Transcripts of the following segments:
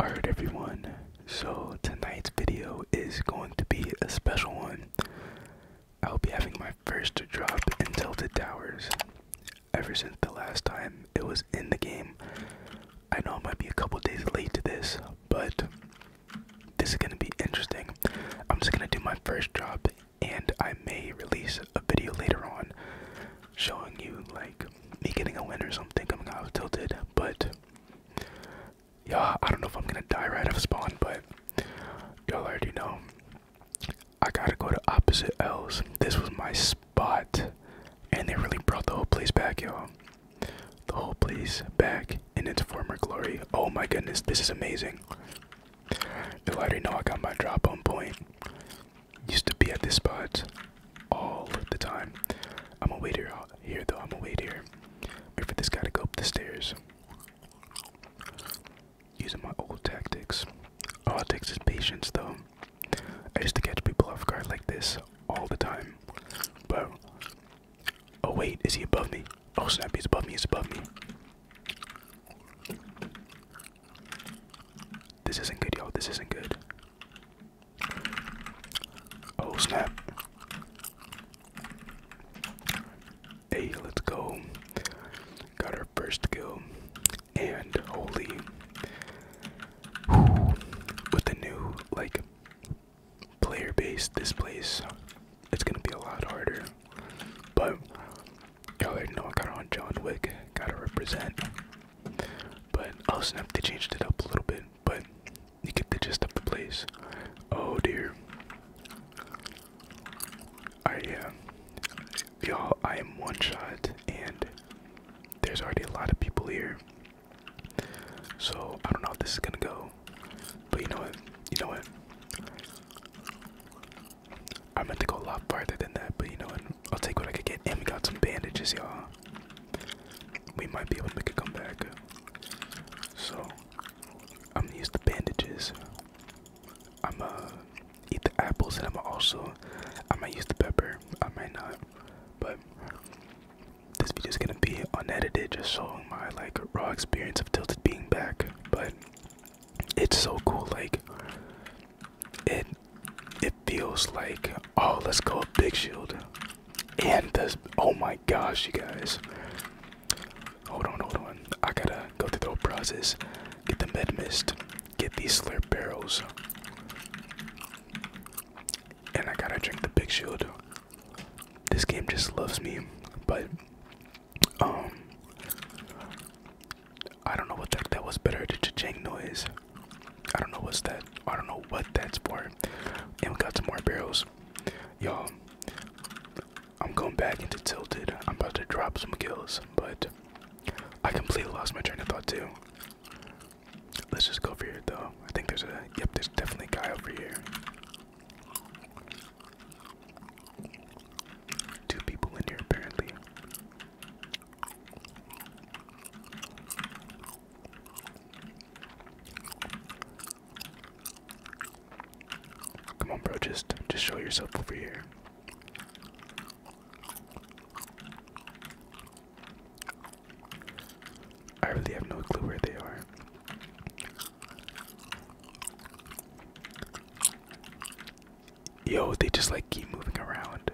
Alright everyone, so tonight's video is going to be a special one. I'll be having my first drop in Tilted Towers. Ever since the last time it was in the game. I know I might be a couple days late to this, but this is going to be interesting. I'm just going to do my first drop and I may release a video later on showing you like me getting a win or something I'm of Tilted, but yeah, I don't know if I'm gonna die right off spawn, but y'all already know. I gotta go to opposite L's. This was my spot, and they really brought the whole place back, y'all. The whole place back in its former glory. Oh my goodness, this is amazing. Y'all already know I got my drop on point. Used to be at this spot all the time. I'm gonna wait here, here though. I'm gonna wait here. Wait for this guy to go up the stairs. Using my old tactics. All oh, it takes is patience though. I used to catch people off guard like this all the time. But oh wait, is he above me? Oh snap, he's above me, he's above me. This isn't good, yo. This isn't good. Oh, snap. Hey, let's go. Got our first kill. And holy. with the new, like, player based this place it's gonna be a lot harder. But y'all already know I got on John Wick, gotta represent. But i oh, they changed it up a little bit, but you get the gist of the place. Oh dear. I yeah. Uh, y'all, I am one shot and there's already a lot of people here. So I don't know how this is gonna go now. But you know what? You know what? I meant to go a lot farther than that, but you know what? I'll take what I could get. And we got some bandages, y'all. We might be able to make a comeback. So, I'm gonna use the bandages. I'm gonna eat the apples, and I'm gonna also, I might use the pepper. I might not. But this video's gonna be unedited, just so my like raw experience of Tilted being back, but it's so cool. Like it, it feels like oh, let's go a big shield, and this. Oh my gosh, you guys! Hold on, hold on. I gotta go through the whole process. Get the med mist. Get these slurp barrels. And I gotta drink the big shield. This game just loves me, but um, I don't know what that that was better. The cha noise. I don't know what's that. I don't know what that's for. And we got some more barrels, y'all. I'm going back into tilted. I'm about to drop some kills, but I completely lost my train of thought too. Let's just go over here though. I think there's a yep, there's definitely a guy over here. Two people in here apparently. Come on bro, just just show yourself over here. I really have no clue where they are. Yo, they just like keep moving around.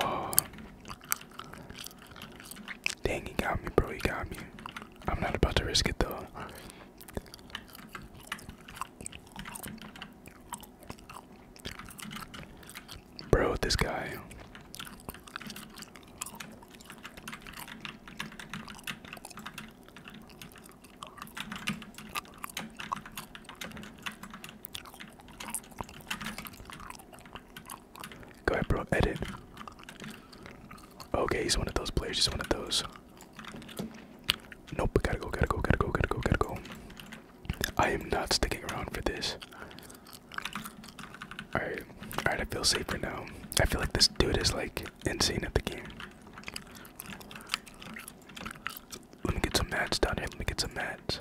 Oh. Dang, he got me, bro. He got me. I'm not about to risk it though. Bro, this guy. Go ahead, bro. Edit. Okay, he's one of those players. He's one of those. Nope, gotta go, gotta go, gotta go, gotta go, gotta go. I am not sticking around for this. Alright, alright, I feel safer now. I feel like this dude is like insane at the game. Let me get some mats down here. Let me get some mats.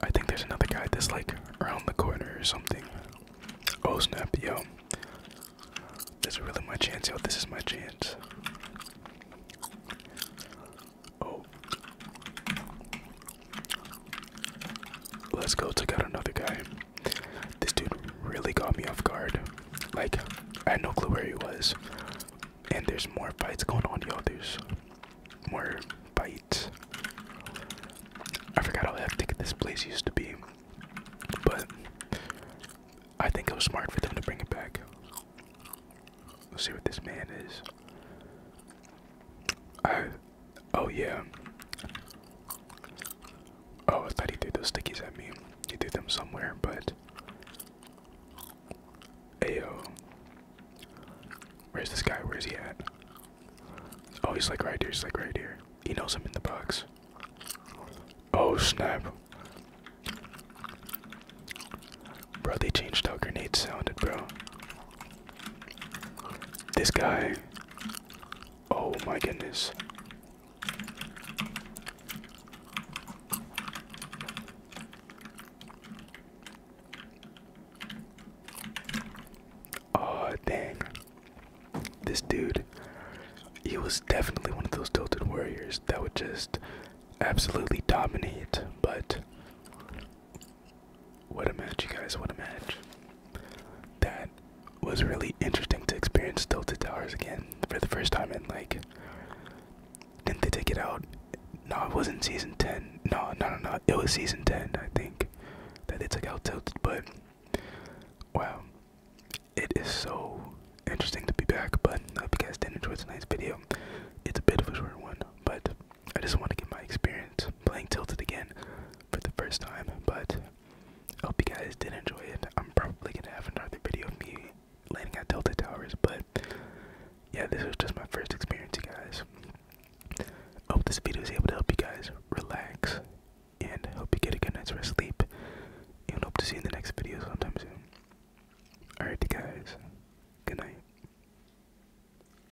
I think there's another guy that's like around the corner or something. Oh snap, yo. This is really my chance, yo. This is my chance. Oh. Let's go take out another guy. This dude really got me off guard. Like, I had no clue where he was. And there's more fights going on, y'all. There's more fights. I forgot how hectic this place used to be. But I think it was smart for them to bring it back. Let's see what this man is. I, oh yeah. Oh, I thought he threw those stickies at me. He threw them somewhere, but. Ayo. Where's this guy? Where's he at? Oh, he's like right here. He's like right here. He knows I'm in the box. Oh, snap. Bro, they changed how grenades sounded, bro. This guy. Oh my goodness. Oh dang. This dude, he was definitely one of those tilted warriors that would just absolutely dominate, but what a match you guys, what a match that was really interesting to experience Tilted Towers again for the first time and like didn't they take it out? No, it wasn't season ten. No, no, no, no. It was season ten, I think, that they took out Tilted. But wow, it is so interesting to be back. But I hope you guys did enjoy tonight's video. It's a bit of a short one, but I just want to get my experience playing Tilted again for the first time, but I hope you guys did enjoy it. I'm probably gonna have another video of me landing at Tilted Towers, but yeah, this was just my first experience, guys. hope this video is able to help you guys relax and hope you get a good night's rest sleep. And hope to see you in the next video sometime soon. Alright, guys. Good night.